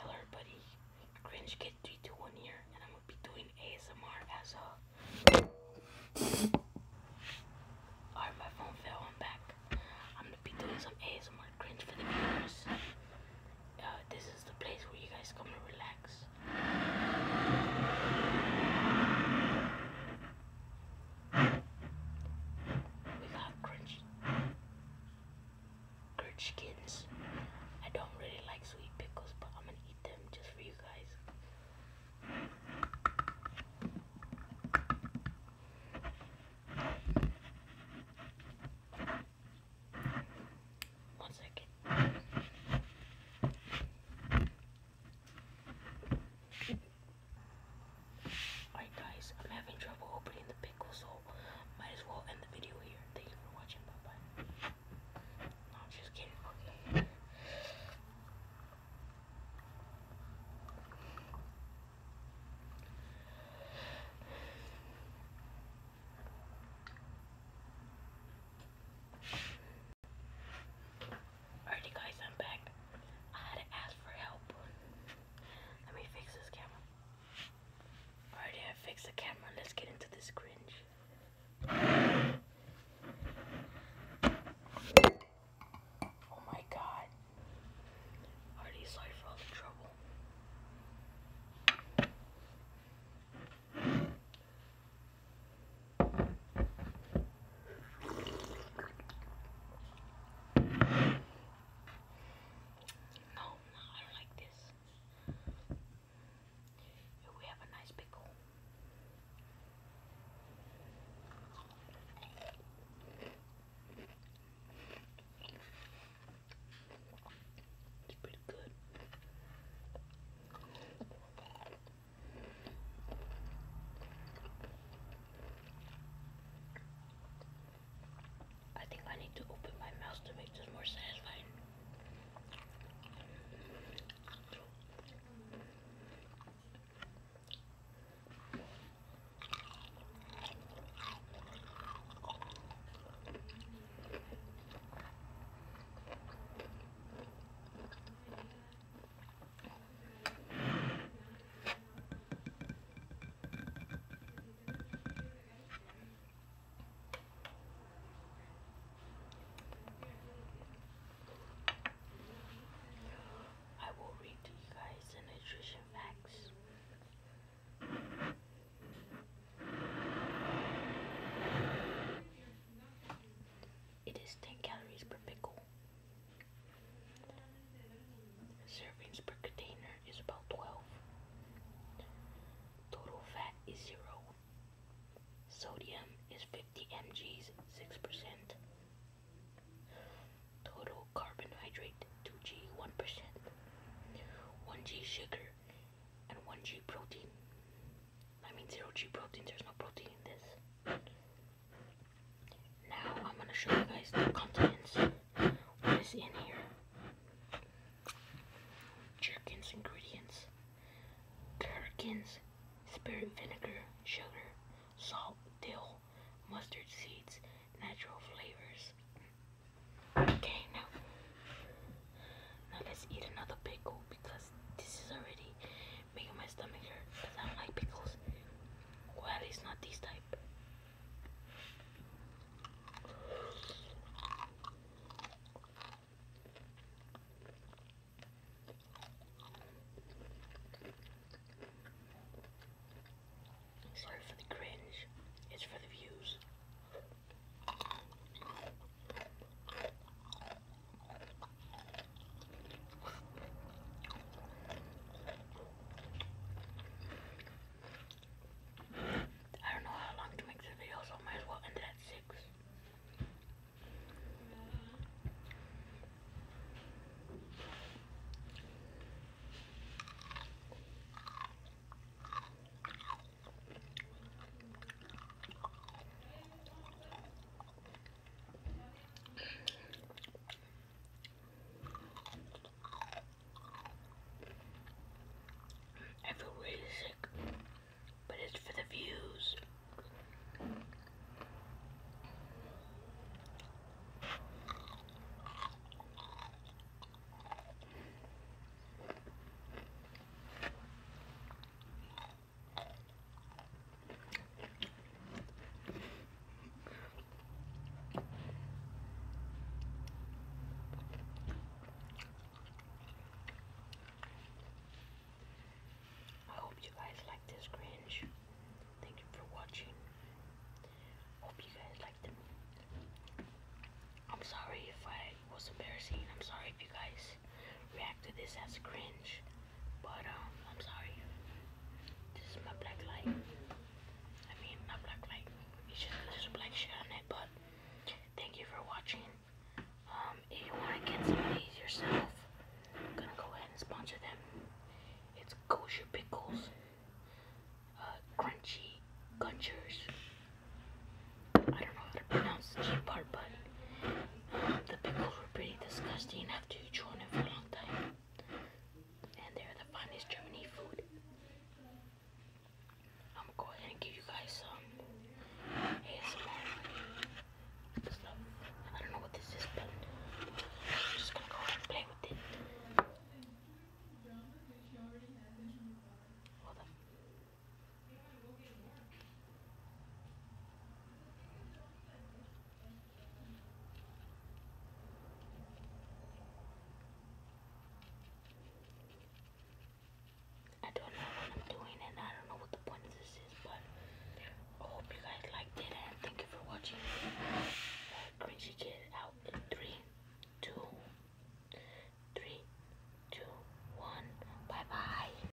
Hello everybody, Cringe Kid 321 here, and I'm gonna be doing ASMR as a... Alright, my phone fell, I'm back. I'm gonna be doing some ASMR cringe for the viewers. Uh, this is the place where you guys come to relax. We got Grinch gherkins. I don't really like sweet pickles, but I'm gonna eat them just for you guys. One second. Alright guys, I'm having trouble opening the pickle, so might as well end the video here. Thank you for watching. Bye-bye. No, just kidding. Okay. guys, I'm back. I had to ask for help. Let me fix this camera. Alright, yeah, fix the camera. Let's get into this cringe. Oh my god. Already sorry for all trouble. No, no, I don't like this. we have a nice pickle. It's pretty good. I think I need to open my mouth to make this more satisfying. I will read to you guys nutrition facts. It is 10 calories per pickle. Servings per container is about 12. Total fat is zero. Sodium is 50 mg, 6%. Total carbohydrate, 2g, 1%. 1g sugar and 1g protein. I mean 0g protein, there's no protein in this. Now I'm gonna show you guys the contents. What is in here? Jerkins ingredients. Gherkins, spirit vinegar, sugar, salt, dill, mustard seeds, natural flavors. Okay, now, now let's eat another pickle because this is already making my stomach hurt because I don't like pickles. Well, at not these type. Sorry for the cringe. It's for the views. I don't know how long to make the video, so I might as well end it at 6. I feel really sick, but it's for the views. I hope you guys like this Grinch. Thank you for watching. Hope you guys liked them. I'm sorry if I was embarrassing. I'm sorry if you guys react to this as cringe, but um, I'm sorry. This is my black light. I mean, not black light. there's a black shit on it, but thank you for watching. Um, if you want to get some of these yourself, go ahead and sponsor them. It's Kosher Pickles, uh, Crunchy Gunchers. I don't know how to pronounce the G part, but the pickles were pretty disgusting after you chew on it for a long time. And they're the finest Germany food. I'm gonna go ahead and give you guys some ASMR stuff. I don't know what this is, but I'm just gonna go ahead and play with it. Hold up. I don't know what I'm doing and I don't know what the point of this is, but I hope you guys liked it and thank you for watching. Cringy Kid out in Bye bye.